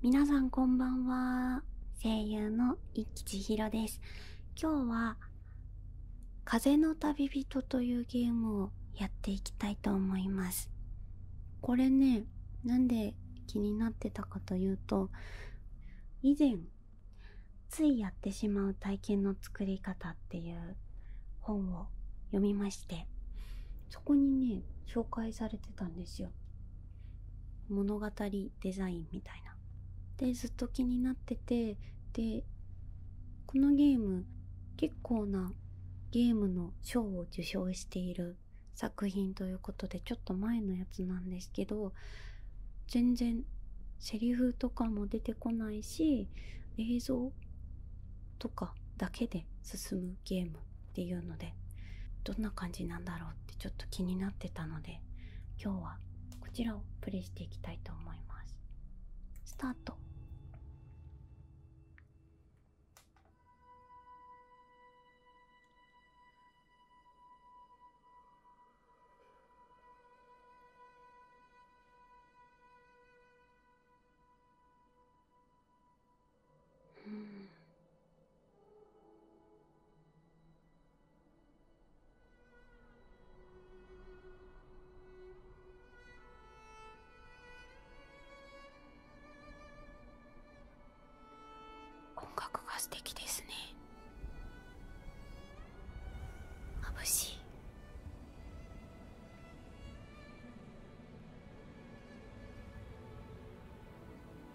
皆さんこんばんは声優の一吉千尋です今日は「風の旅人」というゲームをやっていきたいと思いますこれねなんで気になってたかというと以前ついやってしまう体験の作り方っていう本を読みましてそこにね紹介されてたんですよ物語デザインみたいな。でずっと気になっててでこのゲーム結構なゲームの賞を受賞している作品ということでちょっと前のやつなんですけど全然セリフとかも出てこないし映像とかだけで進むゲームっていうのでどんな感じなんだろうってちょっと気になってたので今日はこちらをプレイしていきたいと思いますスタートうん音楽が素敵ですね眩しい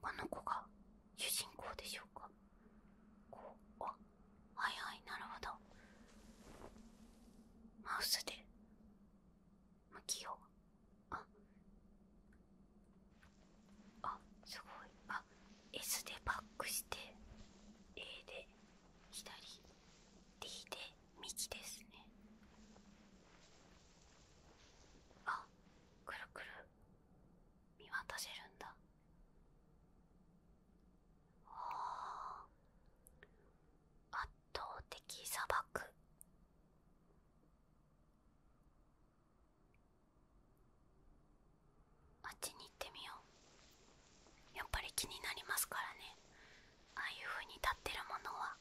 この子が主人公でしょうかこうあはいはいなるほどマウスで向きをああすごいあ S でバックして A で左 D で右ですねあくるくる見渡せるんだあ圧倒的砂漠あっちに行ってみようやっぱり気になりますからねああいうふうに立ってるものは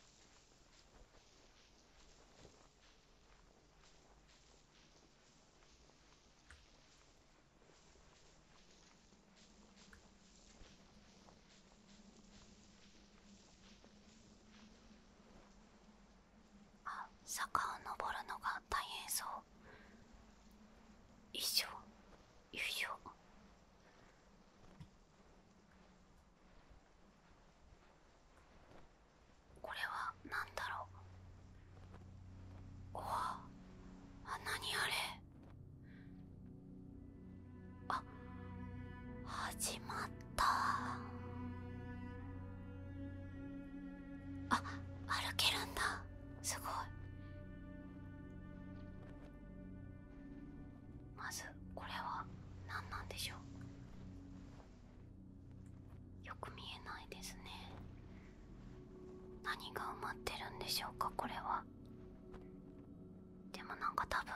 あ坂を登るのが大変そう一生一生これは何だろうおわあ何あれあ始まったあ歩けるんだすごいまずこれは何なんでしょうよく見えないですね何が埋まってるんでしょうかこれはでもなんか多分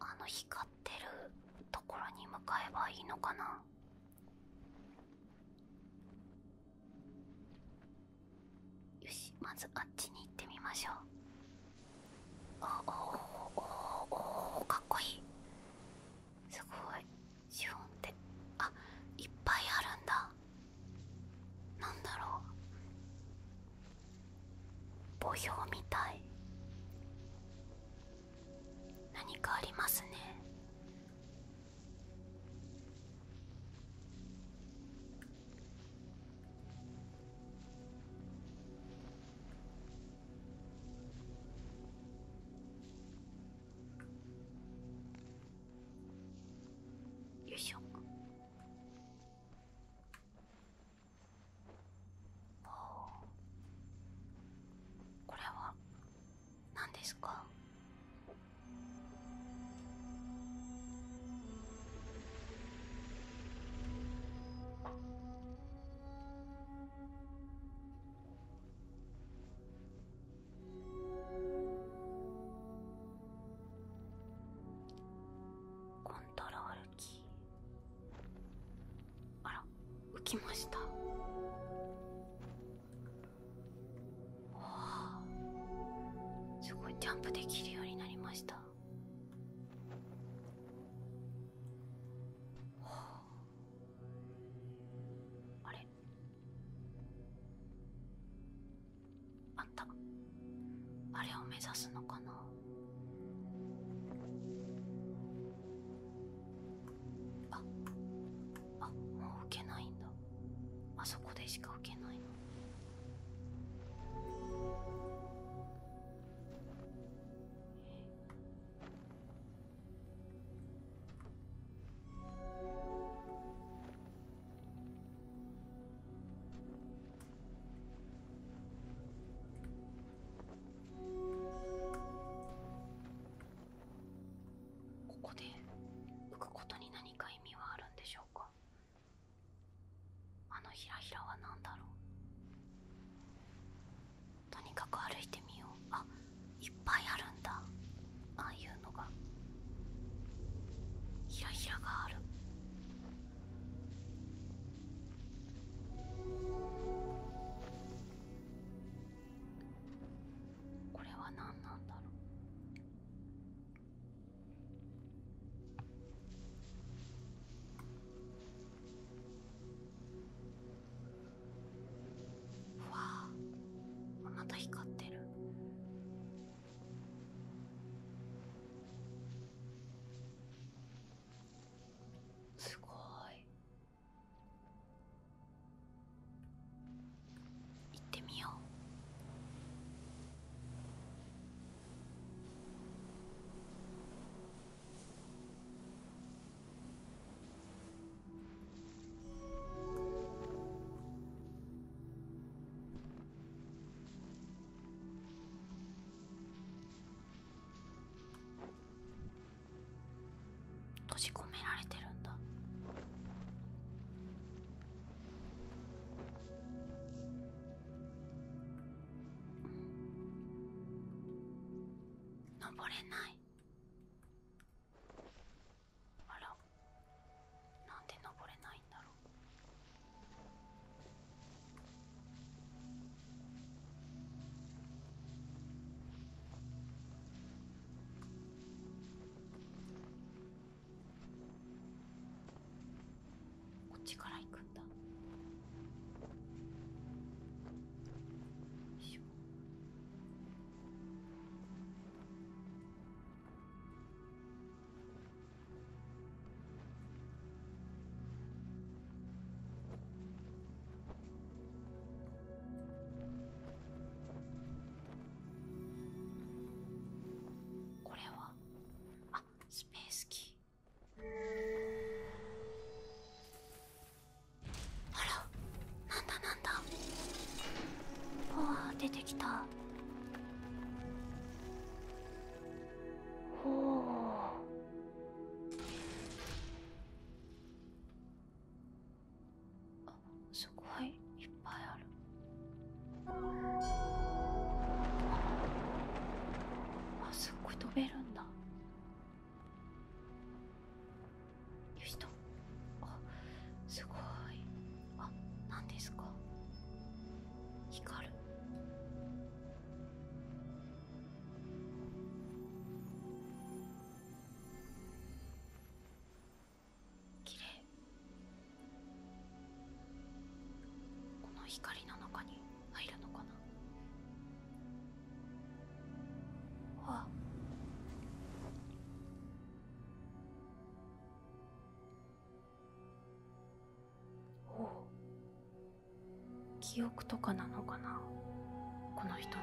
あの光ってるところに向かえばいいのかなよしまずあっちに行ってみましょうおおおおおかっこいいすごいシフォンってあいっぱいあるんだなんだろう墓標みたい何かありますねよいしょこれは何ですかコントロールキーあら浮きましたわあすごいジャンプできるようになりましたあれあんたあれを目指すのかなああもう受けないんだあそこでしか受けないのえここで浮くことに何か意味はあるんでしょうかあのヒラヒラは何だろうとにかく歩いてみようあいっぱいあるんだああいうのがヒらヒらがあるこれは何なんだろううわあまた光ってるすごい行ってみよう閉じ込められてるんだ。登れないあらなんで登れないんだろうこっちから行くこれはあスペースキーあらなんだなんだパワ出てきたおおあすごいいっぱいあるあすっごい飛べるんだよしとあすごいあ何ですか光るきれいこの光の中に入るのかなあおお記憶とかなのかなこの人の。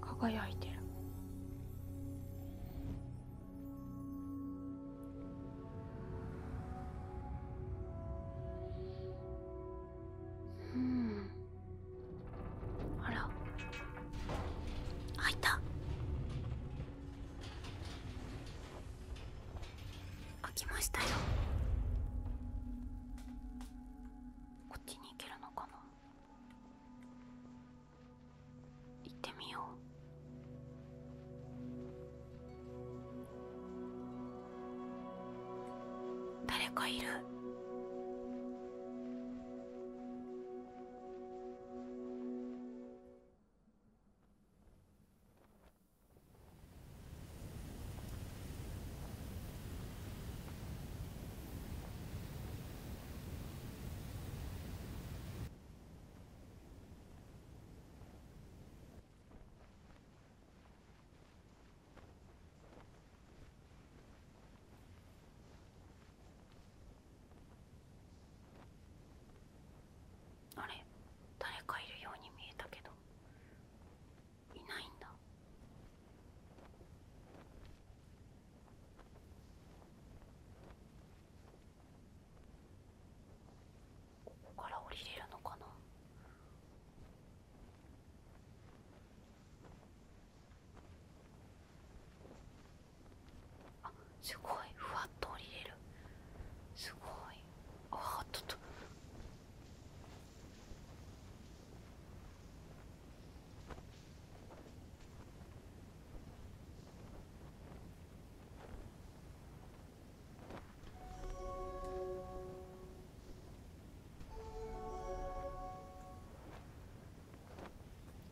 輝いてるうんあら開いた開きましたよこっちに行けるのかな行ってみよう。誰かいるあれ誰かいるように見えたけどいないんだここから降りれるのかなあすごいふわっと降りれるすごいあっとっと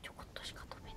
ちょこっとしか飛べない。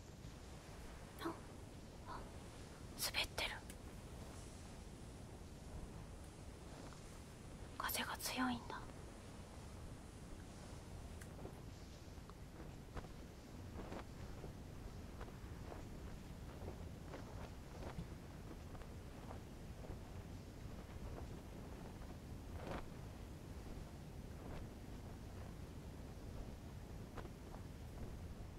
ああ滑ってる風が強いんだ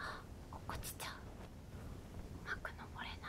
あ落ちちゃううまく登れない。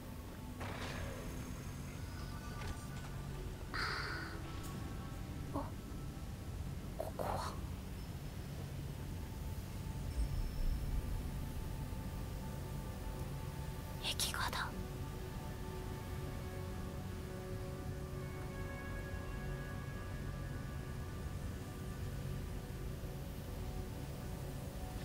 ああここは壁画だああ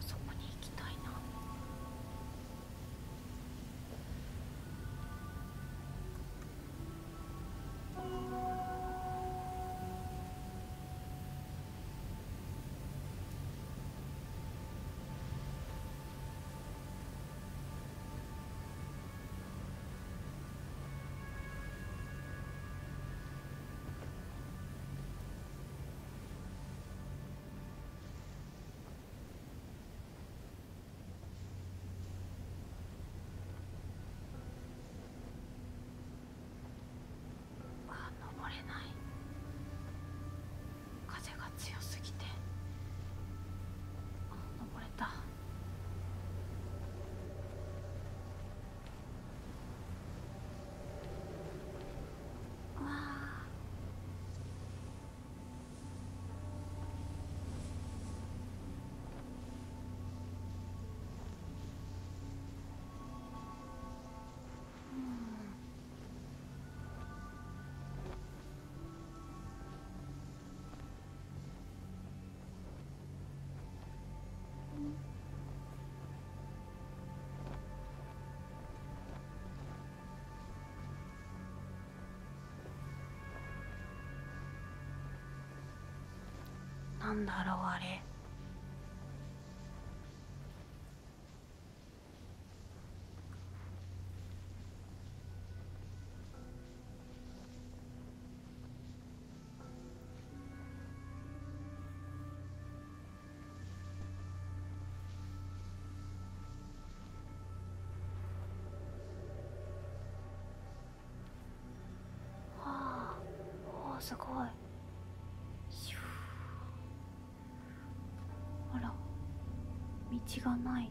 そこに行きたいな。あ登れない風が強すぎてあ登れた。うわあうんなんだろうあれはあ、すごい。あら道がない。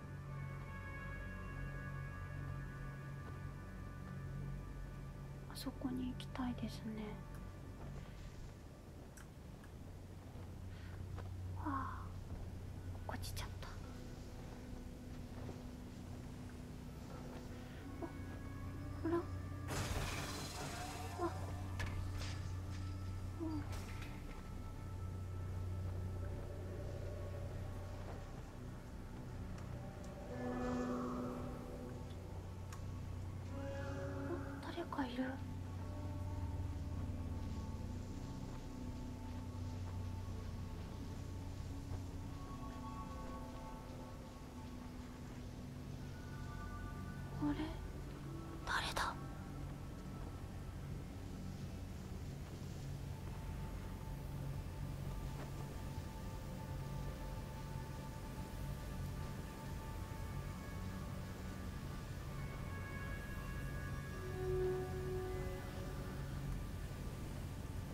あそこに行きたいですねああ。落ちちゃったあほらあ。うん。誰かいるあれ誰だ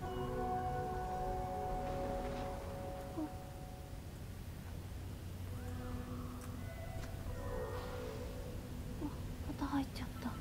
あ。また入っちゃった。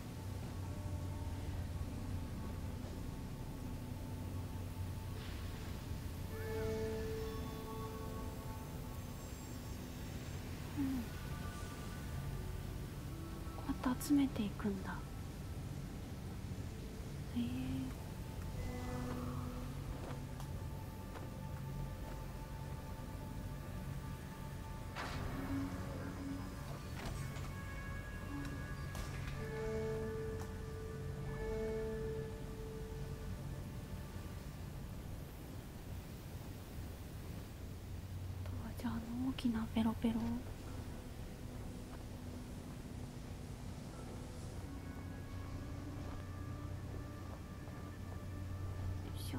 うん。また集めていくんだへえーじゃあの大きなペロペロよいしょ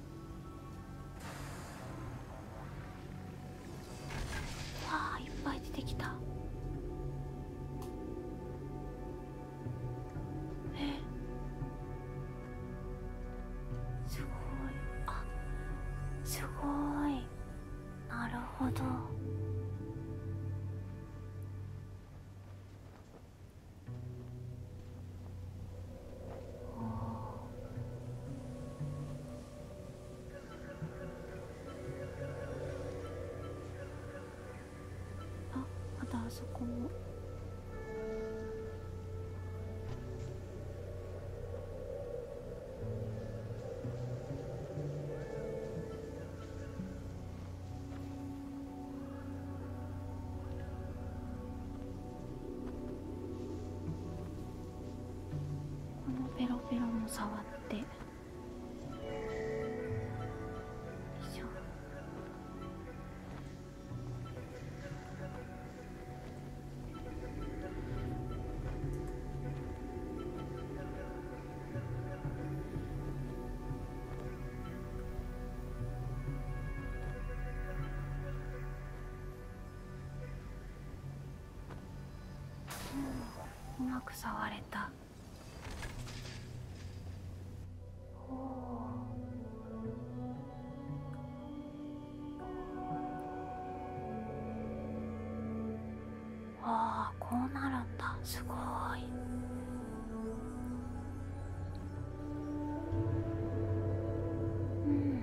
あいっぱい出てきたえすごいあすごいなるほどああ。まだあそこも。このペロペロも触って。よいしょ。うん、うまく触れたおう。ああこうなるんだすごい。うん、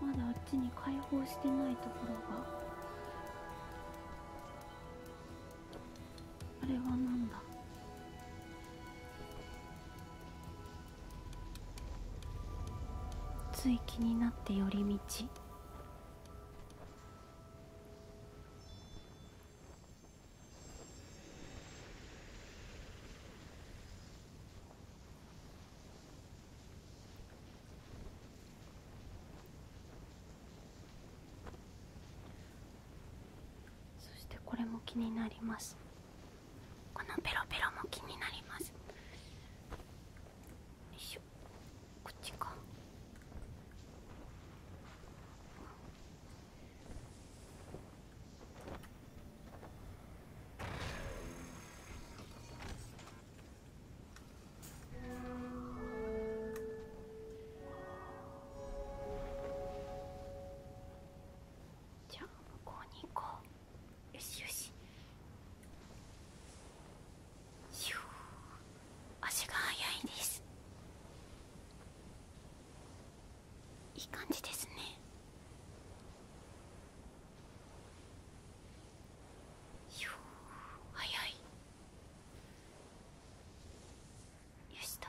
まだあっちに解放してないところがあれはなんだつい気になって寄り道そしてこれも気になりますこのペロペロも気になりますよいしょこっちかじゃあ向こうに行こうよしよしひゅ足が速いですいい感じですねひょ早いよしと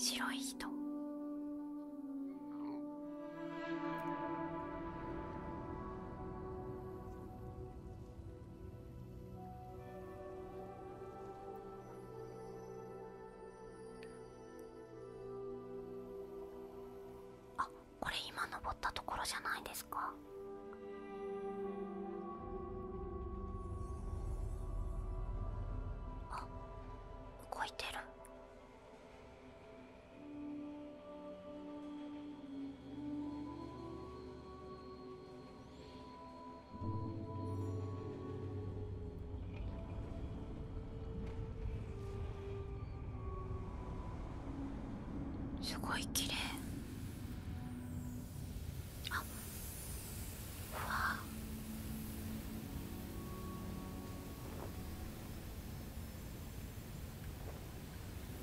白い人あこれ今登ったところじゃないですかあ動いてるすごい綺麗あうわ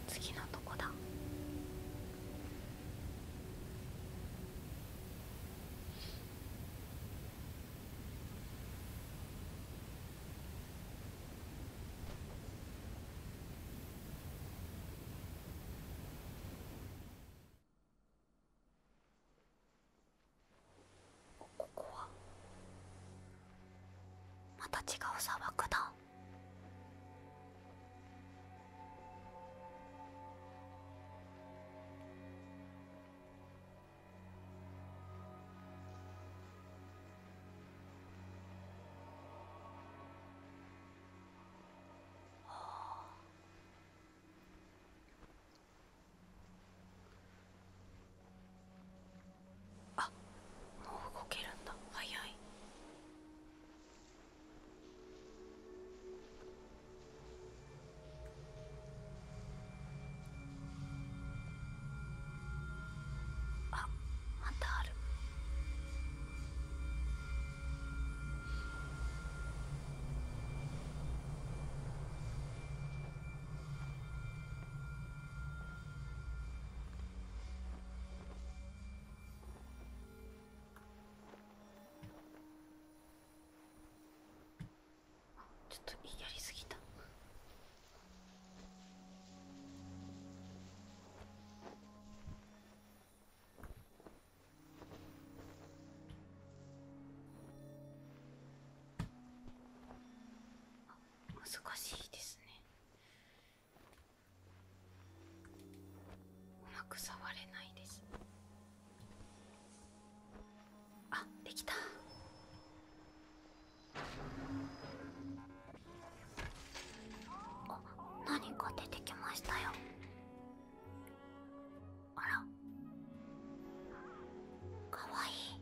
次のとこだここはまた違う砂漠だあもう動けるんだ早い。あまたあるあ、ちょっとやりすぎたあ、難しいですねうまく触れないですあできたあっ、何か出てきましたよあらかわいい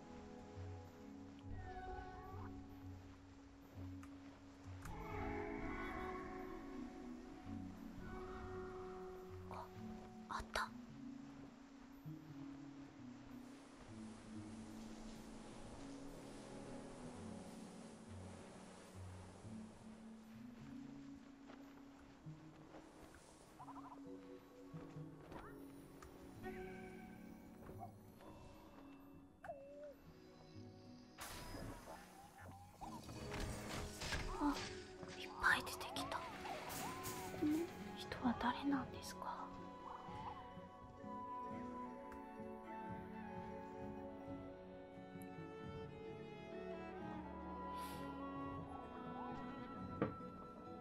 ああったあいっぱい出てきた人は誰なんですか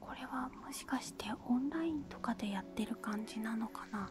これはもしかしてオンラインとかでやってる感じなのかな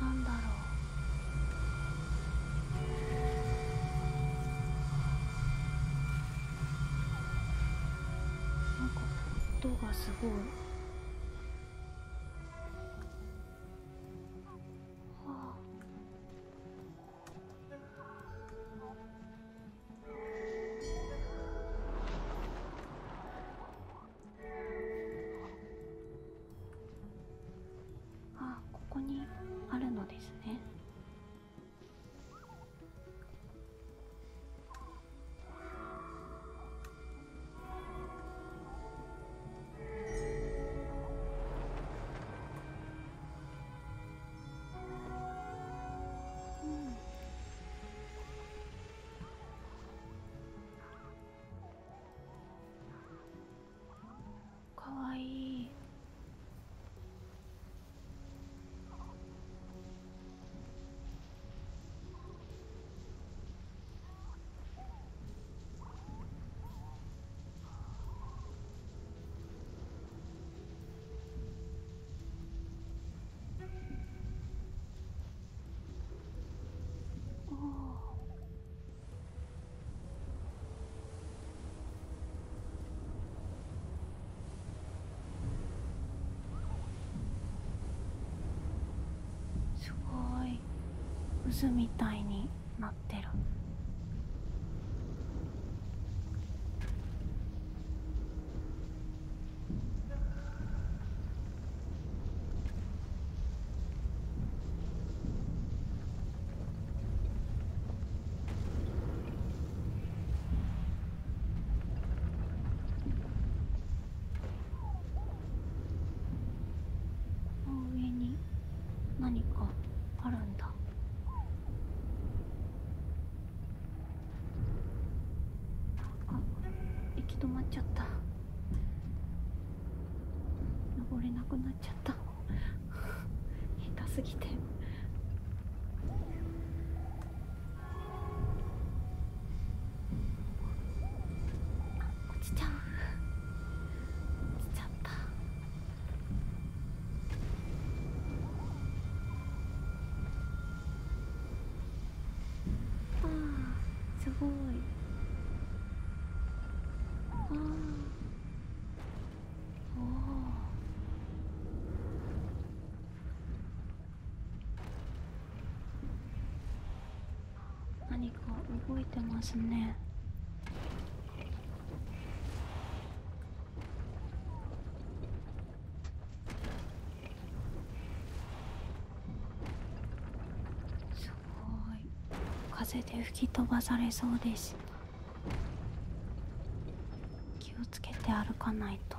なんだろうなんか音がすごい。はああここにあるのですねうん。かわいいすごい渦みたいになってる。上に何かああ、るんだ。行き止まっちゃった登れなくなっちゃった 下手すぎて。落ちちゃう落ちちゃったああすごいああ。お何か動いてますね。すごい風で吹き飛ばされそうでした。気をつけて歩かないと。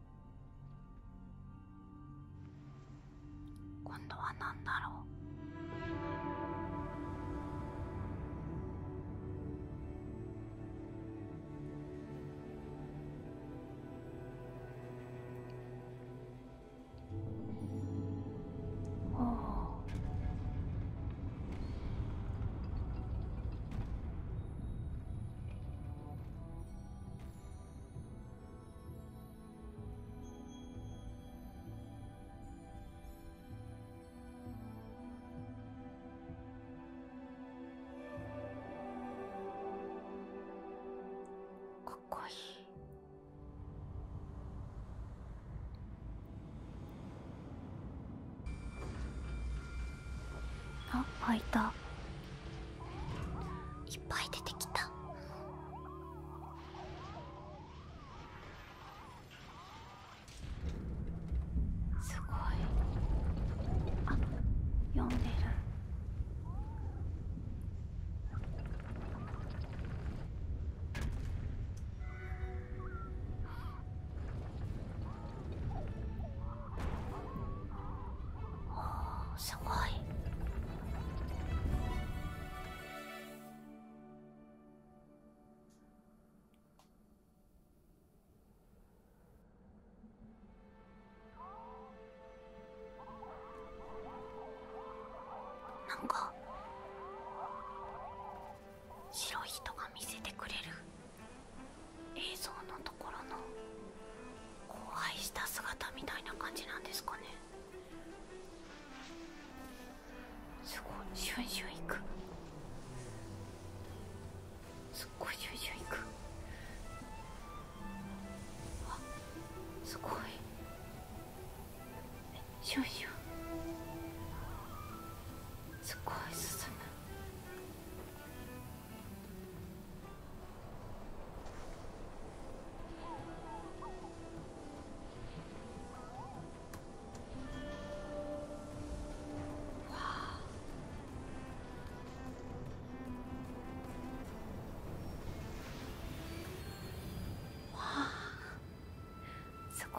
今度は何だろうかっこい開いた。いっぱい出てきたすごいあ読んでるすごいなんか白い人が見せてくれる映像のところの荒廃した姿みたいな感じなんですかねすごいシュンシュンいくすっごいシュンシュンいくあすごいシュンシュンすごい進むうわわすごい。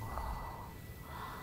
はあ。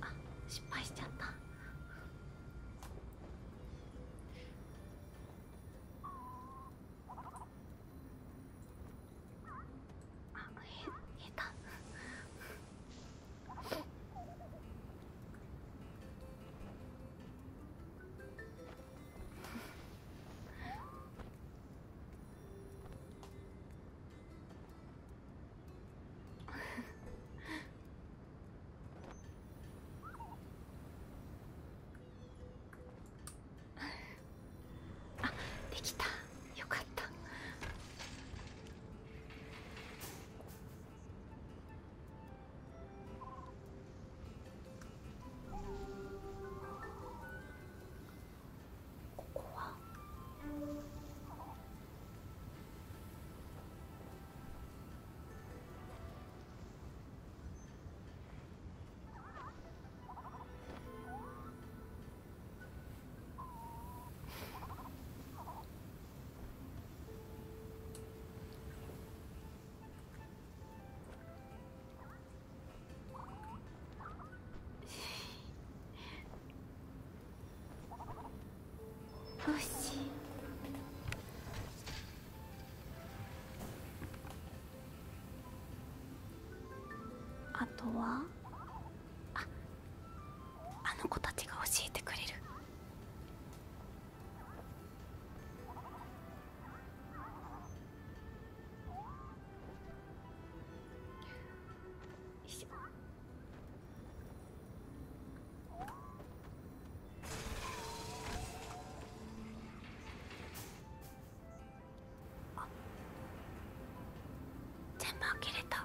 あ失敗しちゃったあもうへ下手 あできたよかったここはあとはああの子たちが教えてくれる全部開けれた。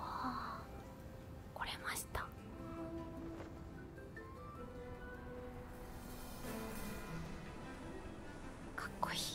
ああこれましたあかっこいい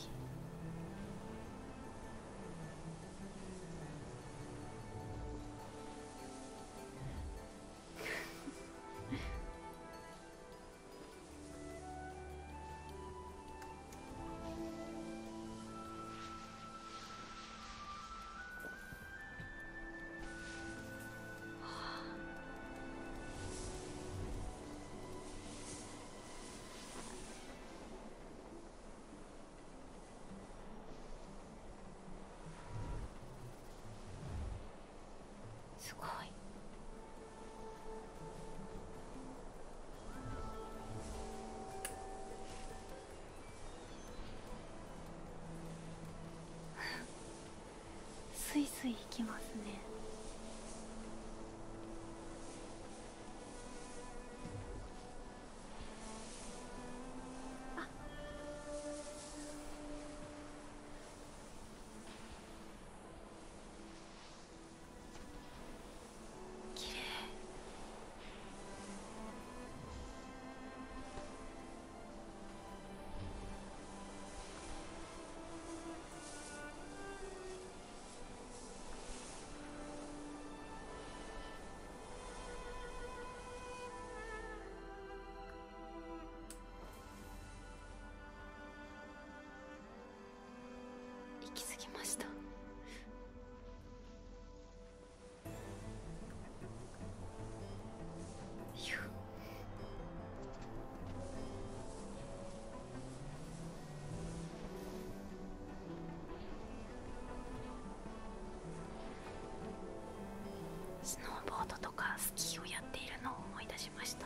すごいスイスイ。引きますねあっきれい行き過ぎましたスノーボードとかスキーをやっているのを思い出しました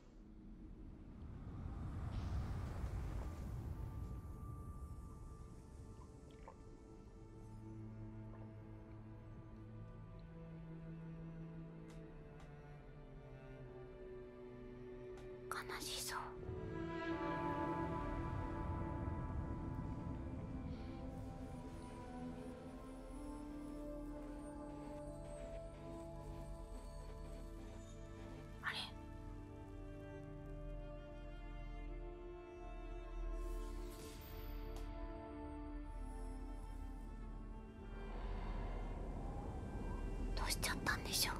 悲しそうあれどうしちゃったんでしょう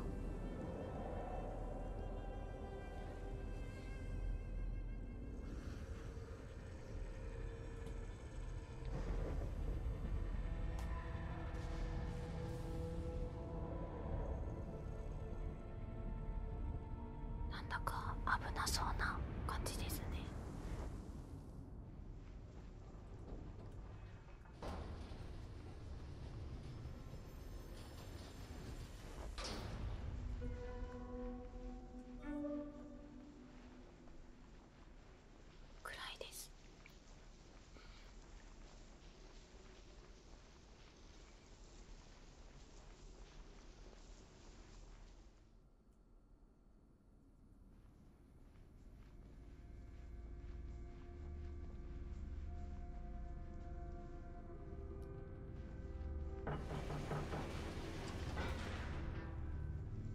なんだか危なそうな感じですねくらいです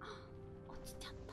あっ落ちちゃった。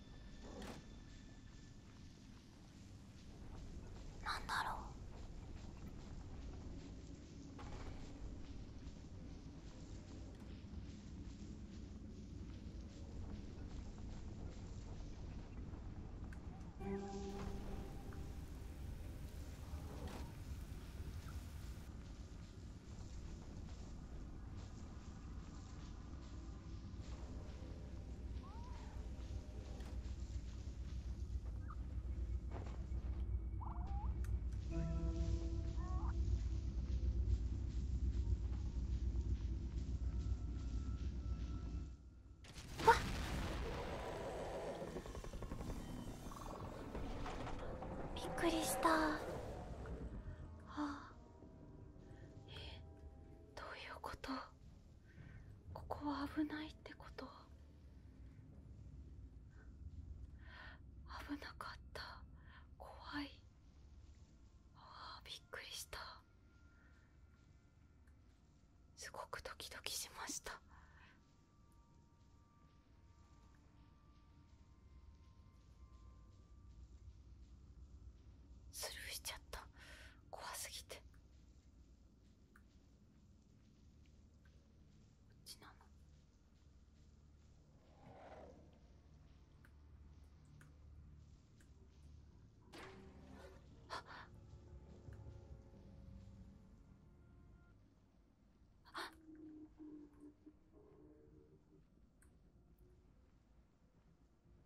なんだろうあ。びっくりした。はあえっどういうことここは危ないってこと危なかった怖いあびっくりしたすごくドキドキしましたスルーしちゃった怖すぎてこっちなのあっあっ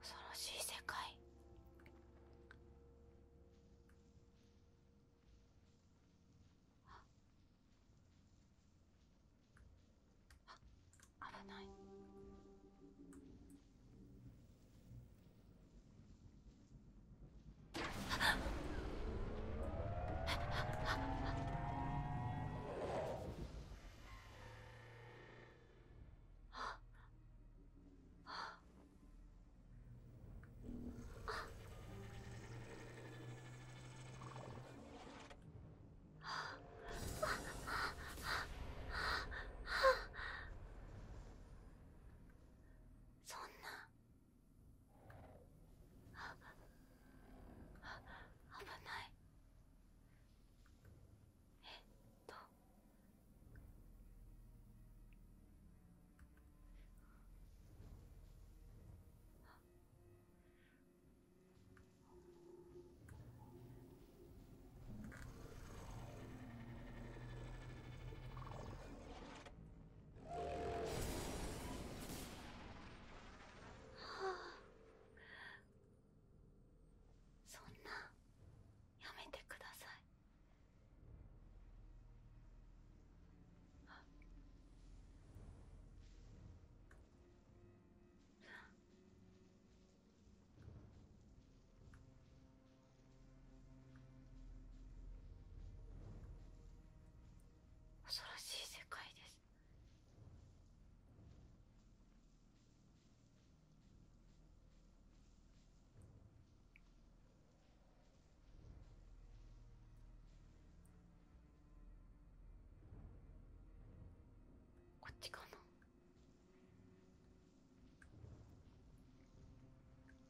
恐ろしい世界あっ、あらないそんなあ危ないえっとはあそんなやめてくださいあっ。恐ろしい世界ですこっちかな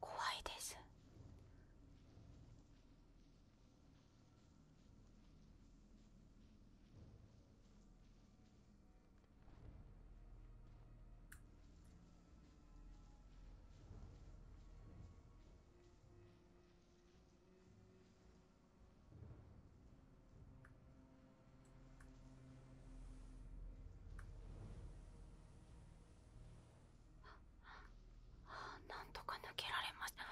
怖いですあなんとか抜けられました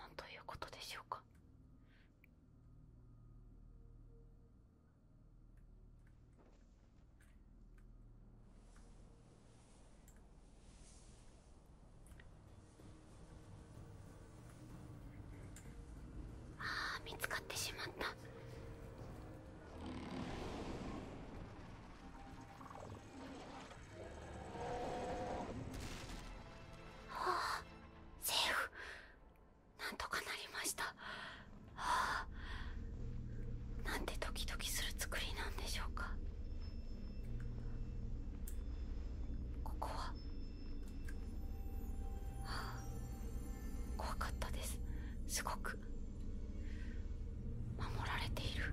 なんということでしょうかああ、見つかってしまったはあセーフなんとかなりましたはあなんてドキドキする作りなんでしょうかここは、はあ、怖かったですすごく守られている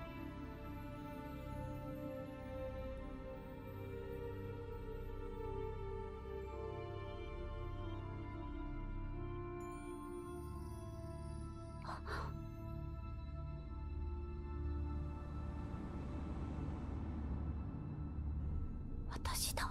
あっ私だ。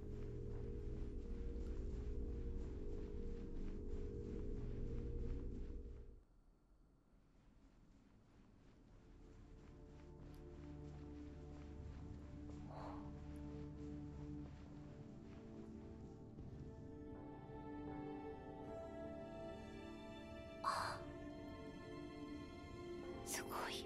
ああ。すごい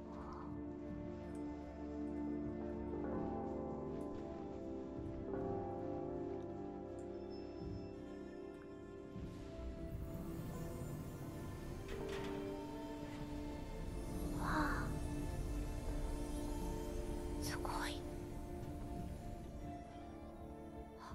あすごいあ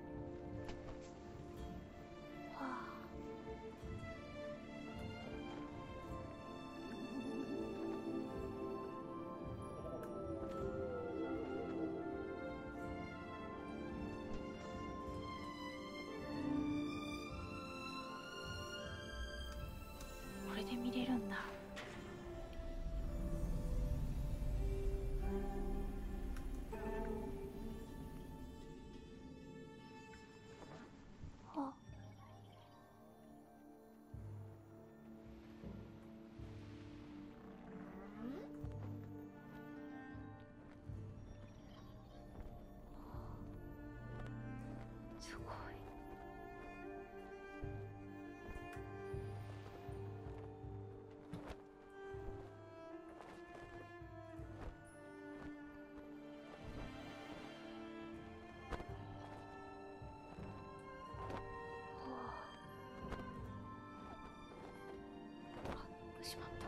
わあこれで見れるんだ。あすごい。あっしまった。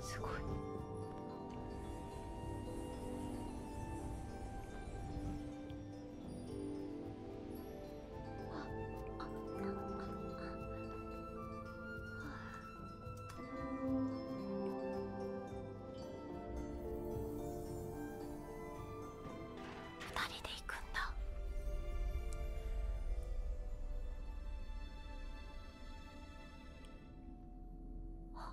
すごい。ああああああ二人で行くんだあ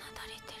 なだれてる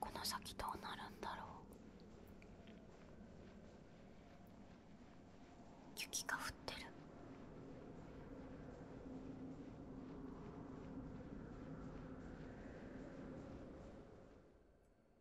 この先どうなるんだろう雪が降ってる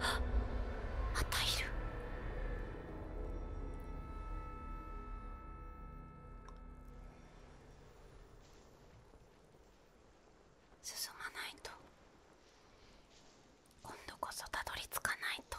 あっまたいる進まないと今度こそたどりつかないと。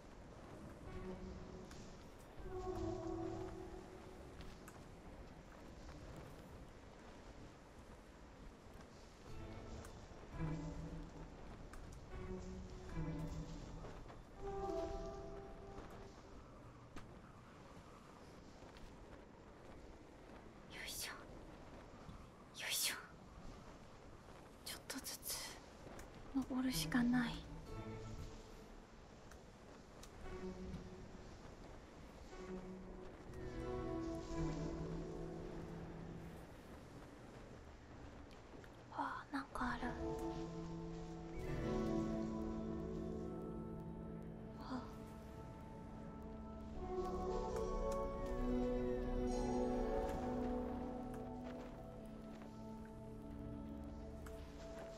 ちょ、っとずつ登るしかないあなんかあるあ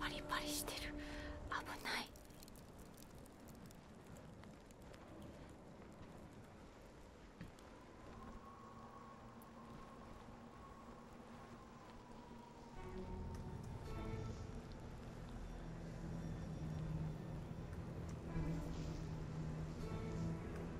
パリパリしてる危ない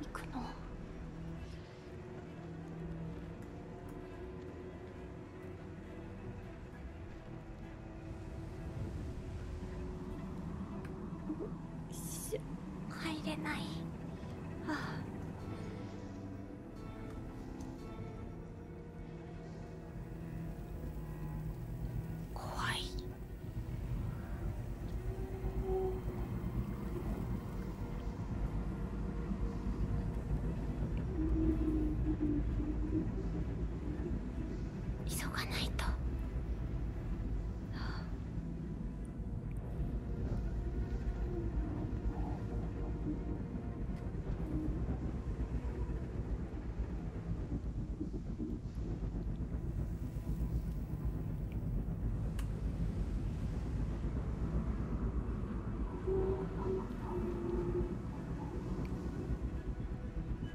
行くの。し入れないああ怖い急がないと。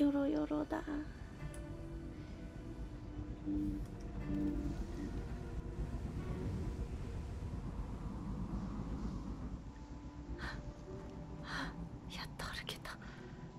よろよろだ。やっと歩けた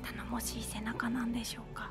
頼もしい背中なんでしょうか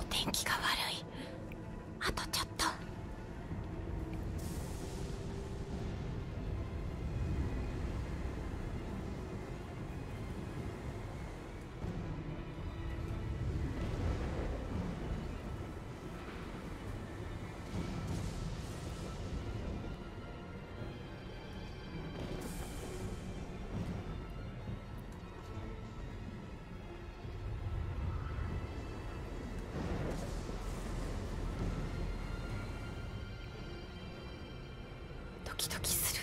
お天気が悪いあとちょっとドキドキする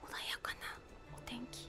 穏やかなお天気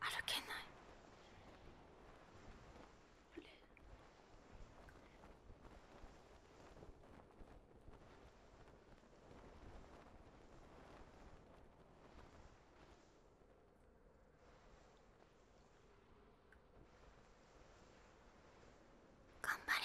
歩けない頑張れ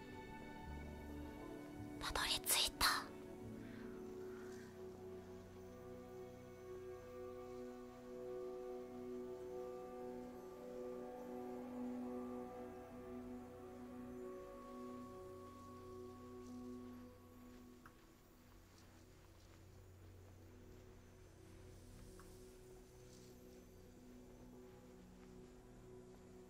たどり着いた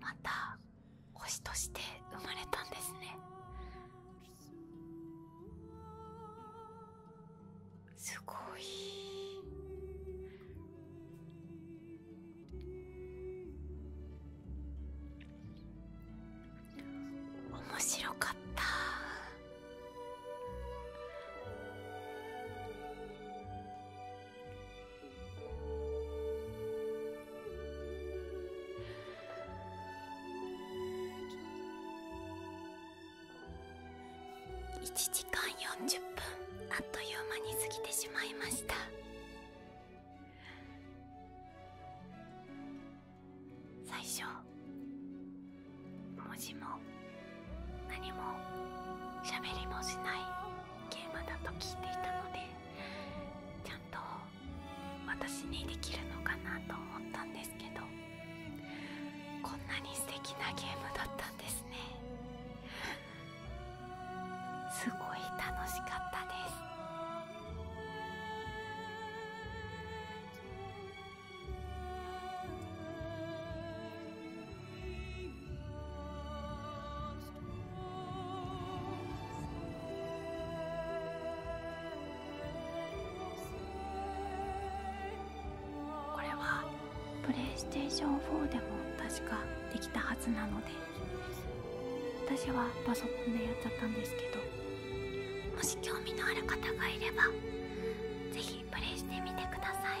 また星として生まれたんですねすごい面白かった。1時間40分あっという間に過ぎてしまいました最初文字も何も喋りもしないゲームだと聞いていたのでちゃんと私にできるのかなと思ったんですけどこんなに素敵なゲームだったんですねすごい楽しかったですこれはプレイステーション4でも確かできたはずなので私はパソコンでやっちゃったんですけどもし興味のある方がいればぜひひプレイしてみてください